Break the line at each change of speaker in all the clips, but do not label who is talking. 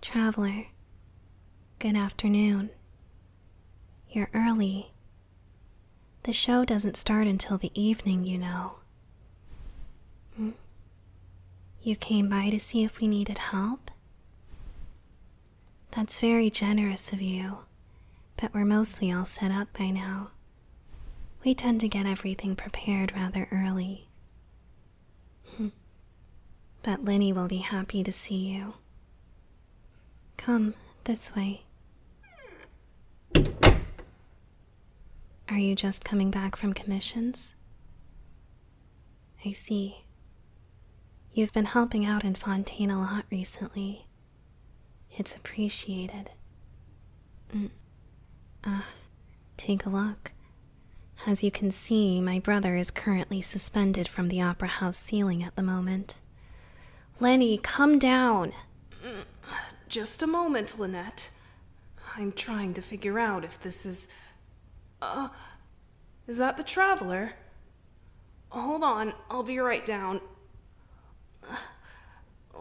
Traveler, good afternoon. You're early. The show doesn't start until the evening, you know. Hmm? You came by to see if we needed help? That's very generous of you, but we're mostly all set up by now. We tend to get everything prepared rather early. Hmm. but Linnie will be happy to see you. Come this way. Are you just coming back from commissions? I see. You've been helping out in Fontaine a lot recently. It's appreciated. Mm. Ah, take a look. As you can see, my brother is currently suspended from the opera house ceiling at the moment. Lenny, come down! Just a moment, Lynette. I'm trying to figure out if this is uh, is that the traveler? Hold on, I'll be right down. Uh,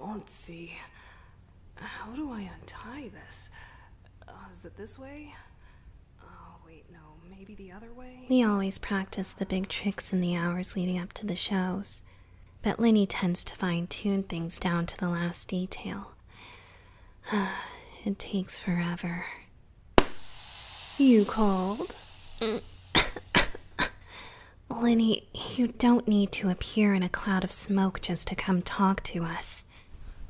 let's see. How do I untie this? Uh, is it this way? Oh, wait, no, maybe the other way? We always practice the big tricks in the hours leading up to the shows, but Linny tends to fine tune things down to the last detail. it takes forever. You called? Lenny, you don't need to appear in a cloud of smoke just to come talk to us.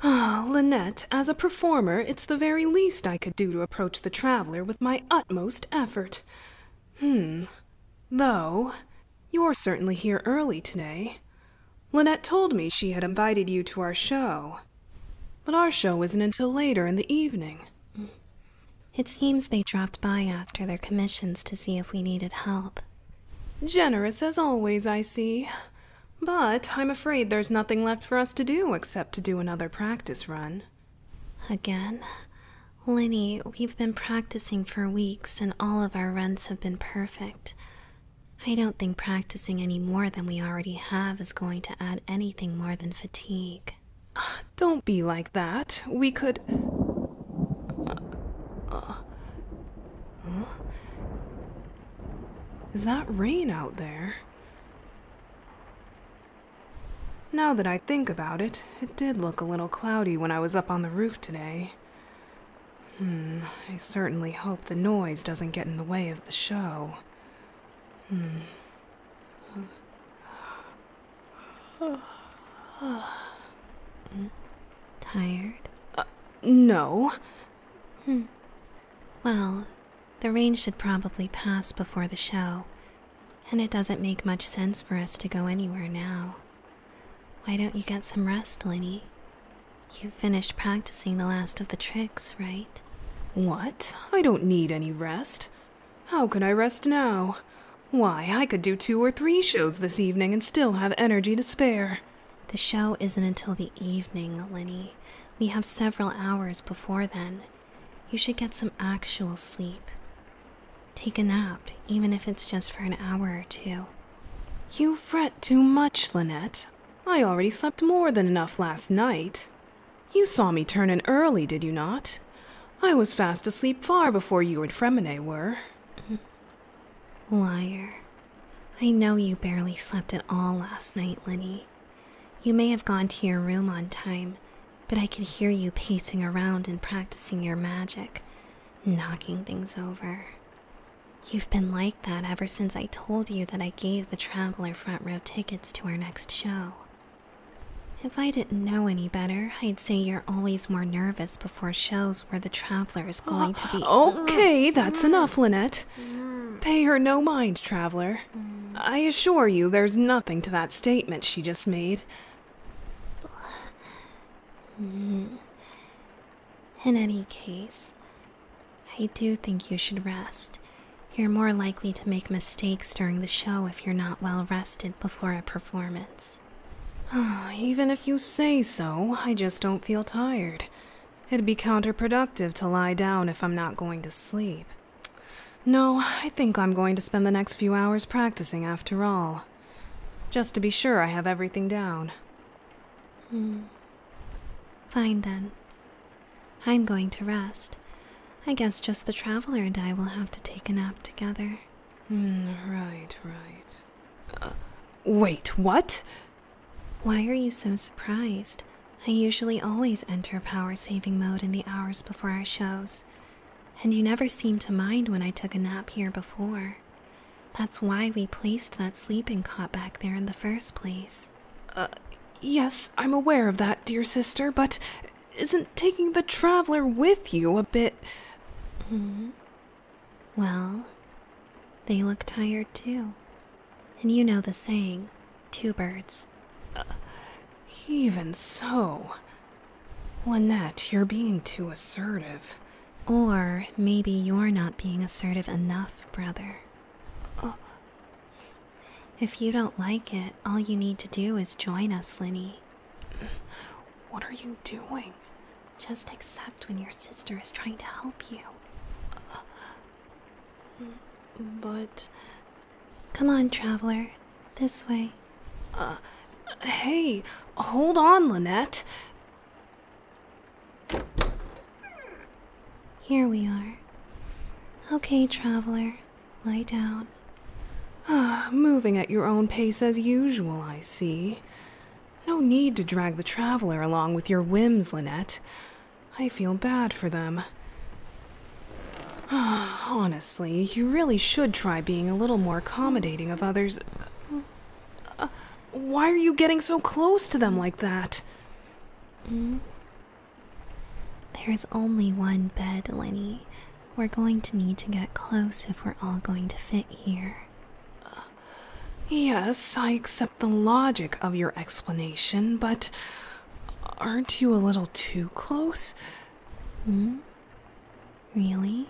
Oh, Lynette, as a performer, it's the very least I could do to approach the traveler with my utmost effort. Hmm. Though, you're certainly here early today. Lynette told me she had invited you to our show. But our show isn't until later in the evening. It seems they dropped by after their commissions to see if we needed help. Generous as always, I see. But I'm afraid there's nothing left for us to do except to do another practice run. Again? Lenny, we've been practicing for weeks and all of our runs have been perfect. I don't think practicing any more than we already have is going to add any anything more than fatigue. Don't be like that. We could. Uh, uh, Is that rain out there? Now that I think about it, it did look a little cloudy when I was up on the roof today. Hmm, I certainly hope the noise doesn't get in the way of the show. Tired? Uh, no. Hmm. Well, the rain should probably pass before the show, and it doesn't make much sense for us to go anywhere now. Why don't you get some rest, Linny? You've finished practicing the last of the tricks, right? What? I don't need any rest. How can I rest now? Why, I could do two or three shows this evening and still have energy to spare. The show isn't until the evening, Lenny. We have several hours before then. You should get some actual sleep. Take a nap, even if it's just for an hour or two. You fret too much, Lynette. I already slept more than enough last night. You saw me turn in early, did you not? I was fast asleep far before you and Fremine were. Liar. I know you barely slept at all last night, Lenny. You may have gone to your room on time, but I could hear you pacing around and practicing your magic, knocking things over. You've been like that ever since I told you that I gave the traveler front row tickets to our next show. If I didn't know any better, I'd say you're always more nervous before shows where the traveler is going to be. Oh, okay, that's mm. enough, Lynette. Mm. Pay her no mind, traveler. Mm. I assure you, there's nothing to that statement she just made. In any case, I do think you should rest. You're more likely to make mistakes during the show if you're not well rested before a performance. Even if you say so, I just don't feel tired. It'd be counterproductive to lie down if I'm not going to sleep. No, I think I'm going to spend the next few hours practicing after all. Just to be sure I have everything down. Hmm. Fine then. I'm going to rest. I guess just the traveler and I will have to take a nap together. Hmm, right, right. Uh, wait, what? Why are you so surprised? I usually always enter power saving mode in the hours before our shows, and you never seemed to mind when I took a nap here before. That's why we placed that sleeping cot back there in the first place. Uh, yes. I'm aware of that, dear sister, but isn't taking the traveler with you a bit. Hmm. Well, they look tired too. And you know the saying two birds. Uh, even so. Lynette, you're being too assertive. Or maybe you're not being assertive enough, brother. Uh, if you don't like it, all you need to do is join us, Linny. What are you doing? Just accept when your sister is trying to help you. but. Come on, traveler. This way. Uh, hey, hold on, Lynette. Here we are. Okay, traveler, lie down. Ah, moving at your own pace as usual, I see. No need to drag the traveler along with your whims, Lynette. I feel bad for them. Ah, honestly, you really should try being a little more accommodating of others. Uh, why are you getting so close to them like that? Hmm? There's only one bed, Lenny. We're going to need to get close if we're all going to fit here. Uh, yes, I accept the logic of your explanation, but aren't you a little too close? Hmm? Really?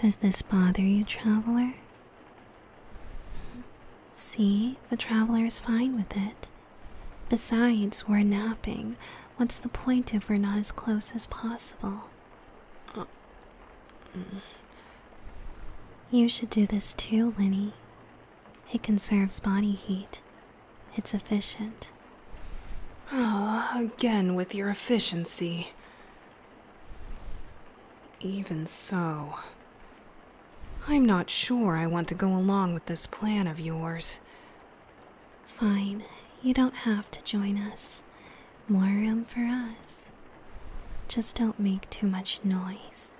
Does this bother you, traveler? See, the traveler is fine with it. Besides, we're napping. What's the point if we're not as close as possible? You should do this too, Linnie. It conserves body heat. It's efficient. Oh, again with your efficiency. Even so, I'm not sure I want to go along with this plan of yours. Fine, you don't have to join us. More room for us. Just don't make too much noise.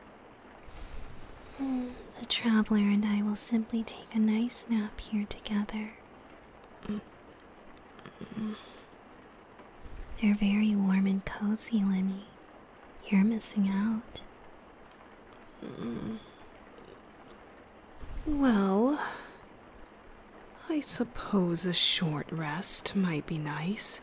Hmm, the traveler and I will simply take a nice nap here together. Mm-hmm. They're very warm and cozy, Lenny. You're missing out. Mm. Well, I suppose a short rest might be nice.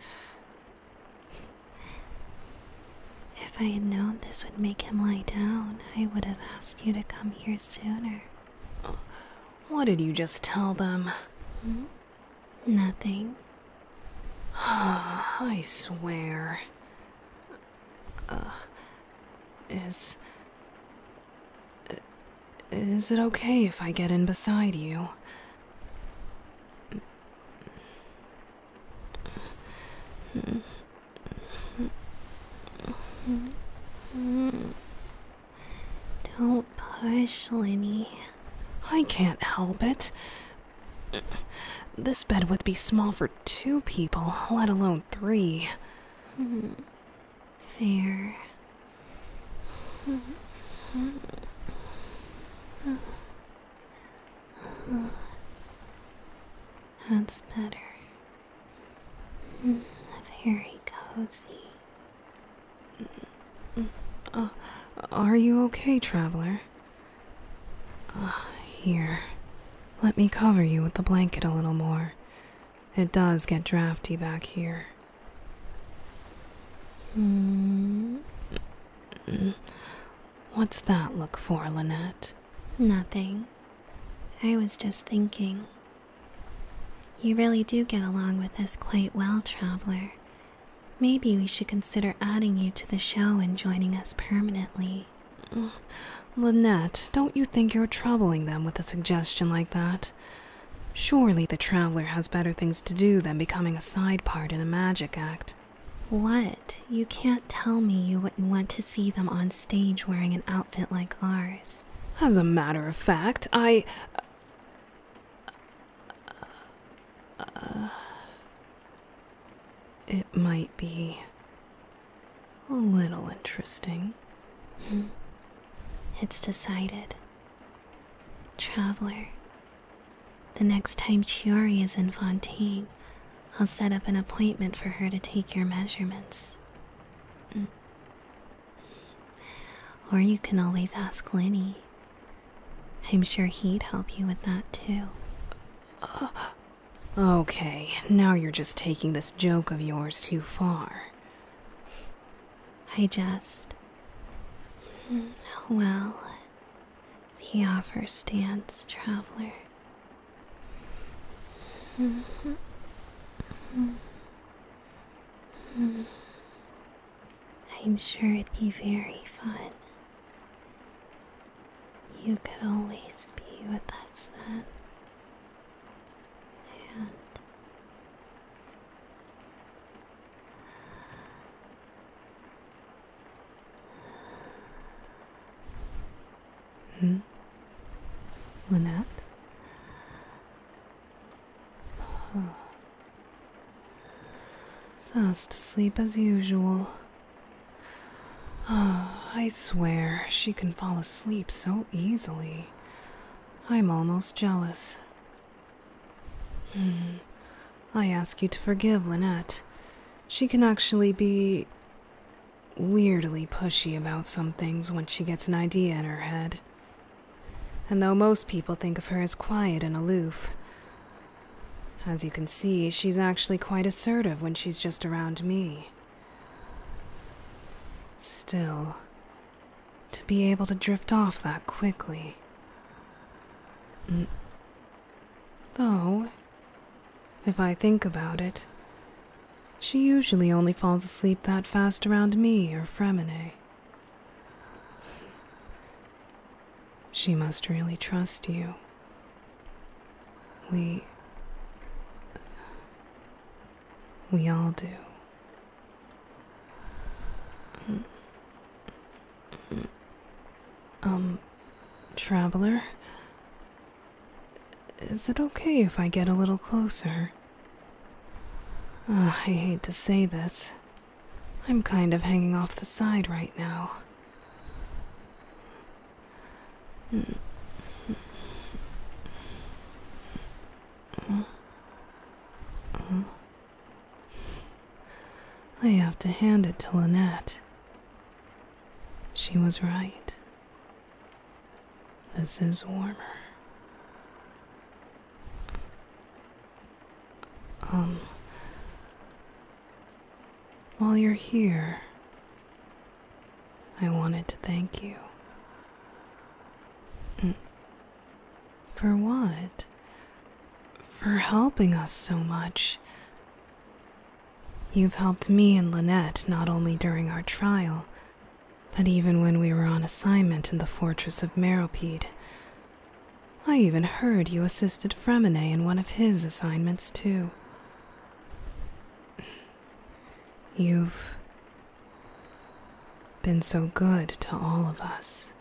If I had known this would make him lie down, I would have asked you to come here sooner. What did you just tell them? Hmm? Nothing. I swear. Uh, is. Is it okay if I get in beside you? Don't push, Lenny. I can't help it. This bed would be small for two people, let alone three. Fair. That's better. Very cozy. Uh, are you okay, traveler? Ah, here, let me cover you with the blanket a little more. It does get drafty back here. Mm. What's that look for, Lynette? Nothing. I was just thinking. You really do get along with us quite well, traveler. Maybe we should consider adding you to the show and joining us permanently. Lynette, don't you think you're troubling them with a suggestion like that? Surely the traveler has better things to do than becoming a side part in a magic act. What? You can't tell me you wouldn't want to see them on stage wearing an outfit like ours. As a matter of fact, I. Uh, uh, it might be a little interesting. Hmm. It's decided. Traveler, the next time Chiori is in Fontaine, I'll set up an appointment for her to take your measurements. Hmm. Or you can always ask Lenny. I'm sure he'd help you with that too. Uh, okay, now you're just taking this joke of yours too far. I just. Hmm, well, he offer stands, traveler. Mm-hmm. Mm-hmm. Mm-hmm. I'm sure it'd be very fun. You could always be with us then. And Hmm? Lynette? Oh. Fast asleep as usual. Oh, I swear she can fall asleep so easily. I'm almost jealous. Hmm. I ask you to forgive Lynette. She can actually be weirdly pushy about some things once she gets an idea in her head. And though most people think of her as quiet and aloof, as you can see, she's actually quite assertive when she's just around me. Still, to be able to drift off that quickly. Mm. Though, if I think about it, she usually only falls asleep that fast around me or Fremine. She must really trust you. We. We all do. Um, traveler? Is it okay if I get a little closer? I hate to say this, I'm kind of hanging off the side right now. I have to hand it to Lynette. She was right. This is warmer. Um. While you're here, I wanted to thank you. Mm. For what? For helping us so much. You've helped me and Lynette not only during our trial, but even when we were on assignment in the Fortress of Merrowpede, I even heard you assisted Fremenet in one of his assignments, too. You've been so good to all of us.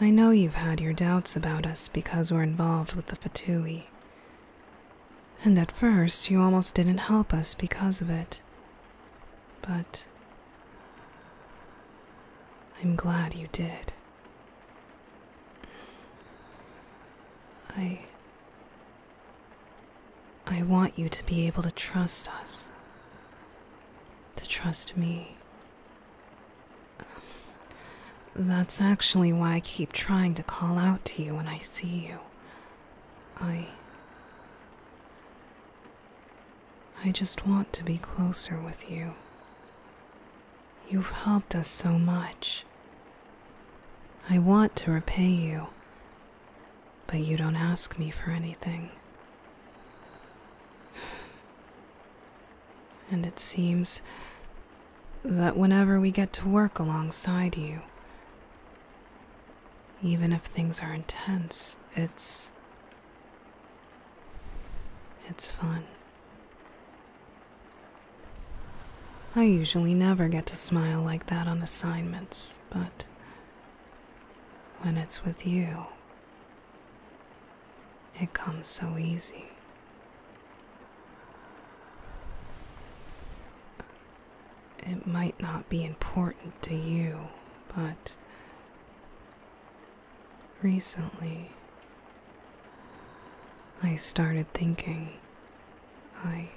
I know you've had your doubts about us because we're involved with the Fatui. And at first, you almost didn't help us because of it but I'm glad you did. I. I want you to be able to trust us. To trust me. That's actually why I keep trying to call out to you when I see you. I. I just want to be closer with you. You've helped us so much. I want to repay you, but you don't ask me for anything. And it seems that whenever we get to work alongside you, even if things are intense, it's it's fun. I usually never get to smile like that on assignments, but when it's with you, it comes so easy. It might not be important to you, but Recently, I started thinking I.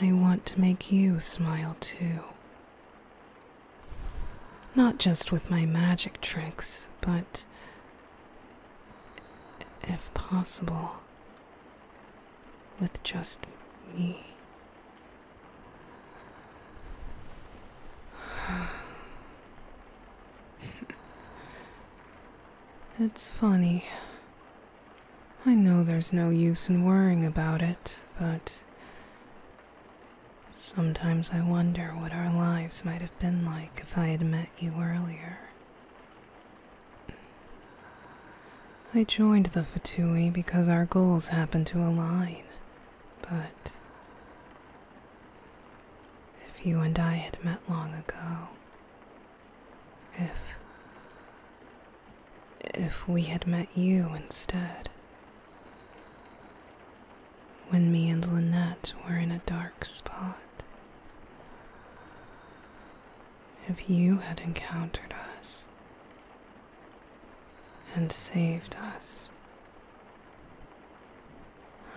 I want to make you smile too. Not just with my magic tricks, but if possible, with just me. it's funny. I know there's no use in worrying about it, but sometimes I wonder what our lives might have been like if I had met you earlier. I joined the Fatui because our goals happened to align, but if you and I had met long ago, if if we had met you instead, when me and Lynette were in a dark spot, if you had encountered us and saved us.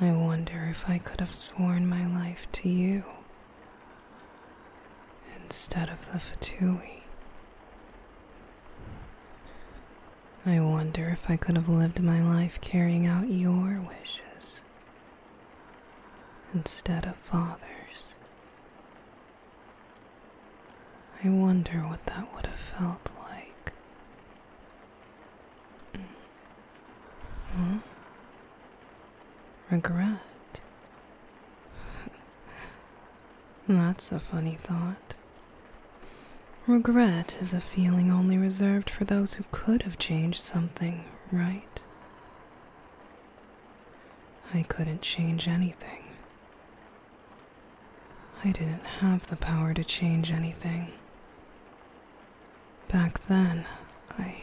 I wonder if I could have sworn my life to you instead of the Fatui. I wonder if I could have lived my life carrying out your wishes instead of father's. I wonder what that would have felt like. Hmm? Regret. That's a funny thought. Regret is a feeling only reserved for those who could have changed something, right? I couldn't change anything. I didn't have the power to change anything. Back then, I.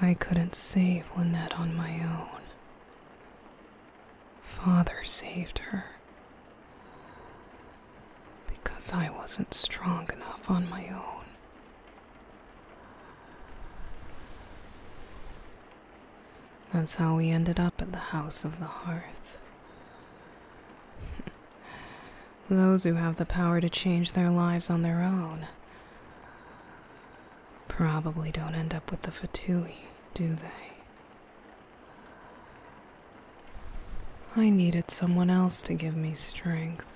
I couldn't save Lynette on my own. Father saved her. Because I wasn't strong enough on my own. That's how we ended up at the house of the hearth. Those who have the power to change their lives on their own probably don't end up with the Fatui, do they? I needed someone else to give me strength.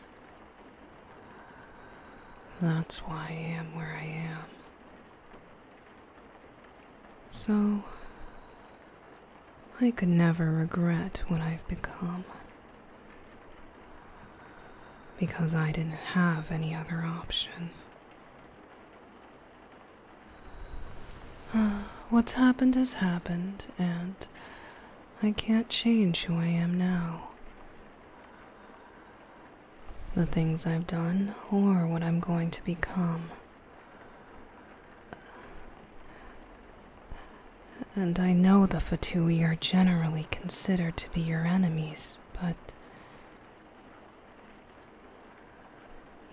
That's why I am where I am. So, I could never regret what I've become. Because I didn't have any other option. Uh, what's happened has happened, and I can't change who I am now the things I've done or what I'm going to become. And I know the Fatui are generally considered to be your enemies, but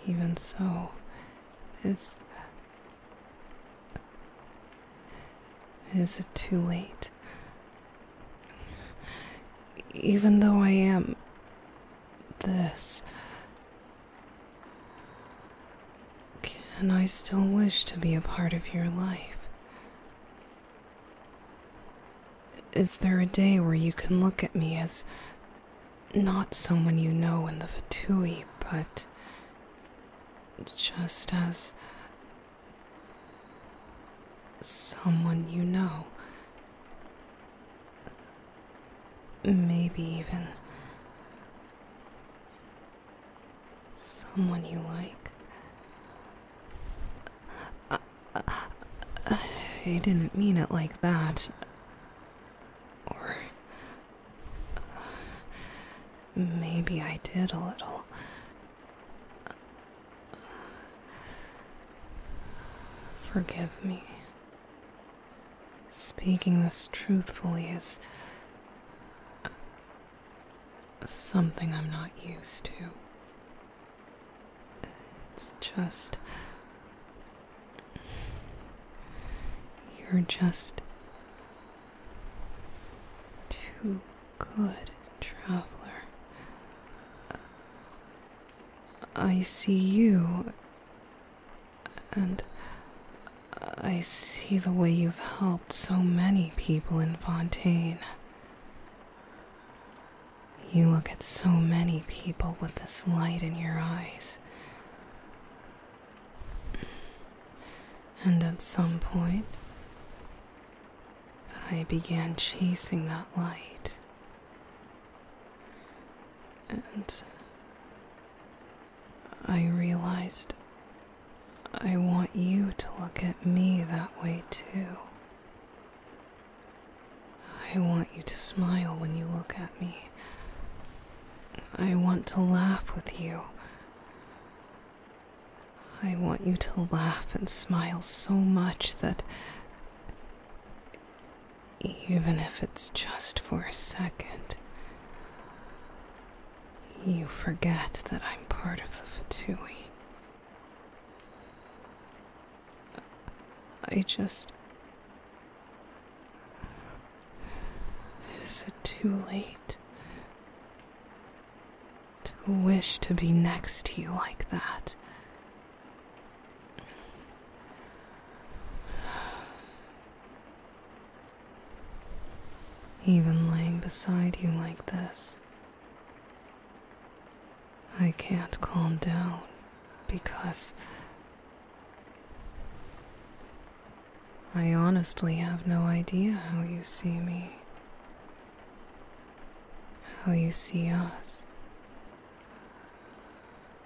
even so, is. Is it too late? Even though I am this, can I still wish to be a part of your life? Is there a day where you can look at me as not someone you know in the Vatui, but just as Someone you know. Maybe even. Someone you like. I, uh, uh, didn't mean it like that. Or. Uh, maybe I did a little. Forgive me. Speaking this truthfully is something I'm not used to. It's just. You're just too Good traveler. I see you, and I see the way you've helped so many people in Fontaine. You look at so many people with this light in your eyes. And at some point, I began chasing that light. And I realized I want you to look at me that way too. I want you to smile when you look at me. I want to laugh with you. I want you to laugh and smile so much that even if it's just for a second, you forget that I'm part of the Fatui. I just. Is it too late? to wish to be next to you like that. Even lying beside you like this, I can't calm down because I honestly have no idea how you see me how you see us.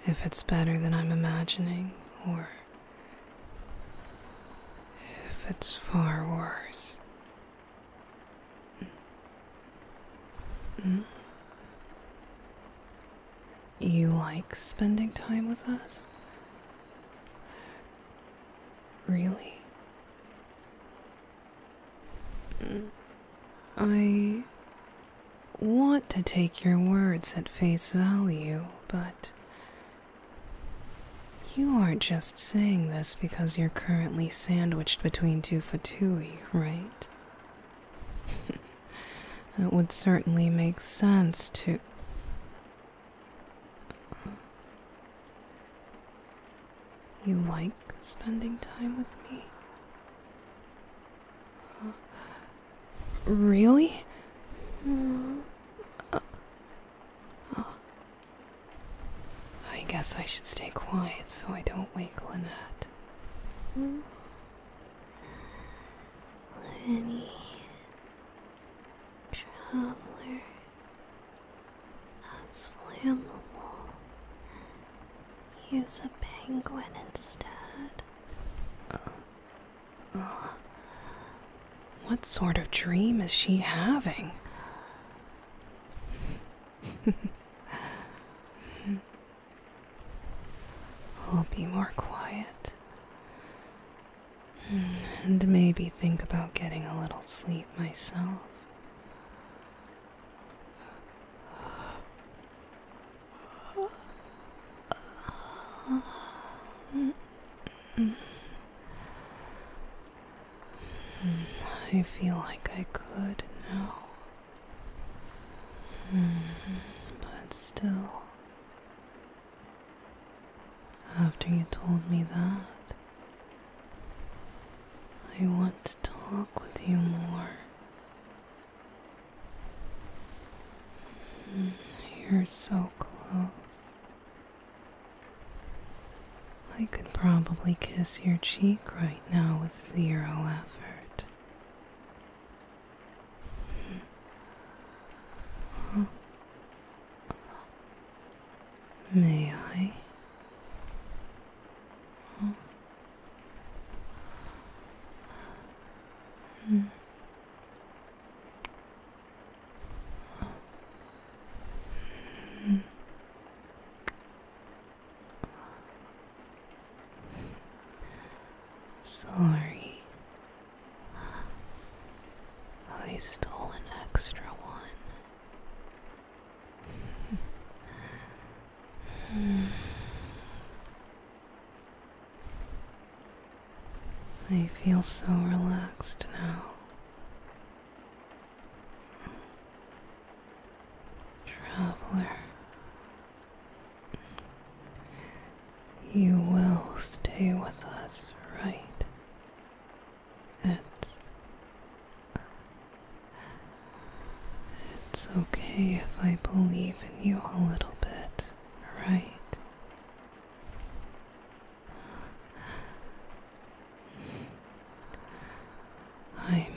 If it's better than I'm imagining, or if it's far worse. Hmm? You like spending time with us? Really? I want to take your words at face value, but you aren't just saying this because you're currently sandwiched between two fatui, right? That would certainly make sense to. You like spending time with me? Uh, really? Hmm. Uh, uh, I guess I should stay quiet so I don't wake Lynette. Hmm? Traveler. That's flammable. Use a penguin instead. Uh, uh, what sort of dream is she having? I'll be more quiet. Hmm, and maybe think about getting a little sleep myself. I feel like I could now. Hmm, but still, after you told me that, I want to talk with you more. Mm, you're so close. I could probably kiss your cheek right now with zero effort. Mm. May I? Hmm. Hmm. Sorry, I stole an extra one. I feel so relaxed now. Traveler, you will stay with us, right? It's. It's okay if I believe in you a little bit, right? I'm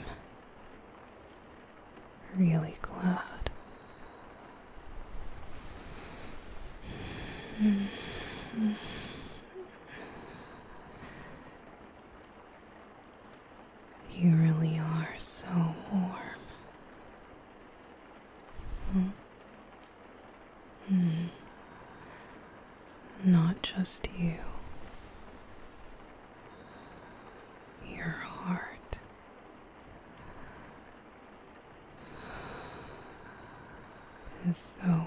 really glad. You really are so warm. Huh? Hmm? Hmm. Not just you. Your heart. Is so warm.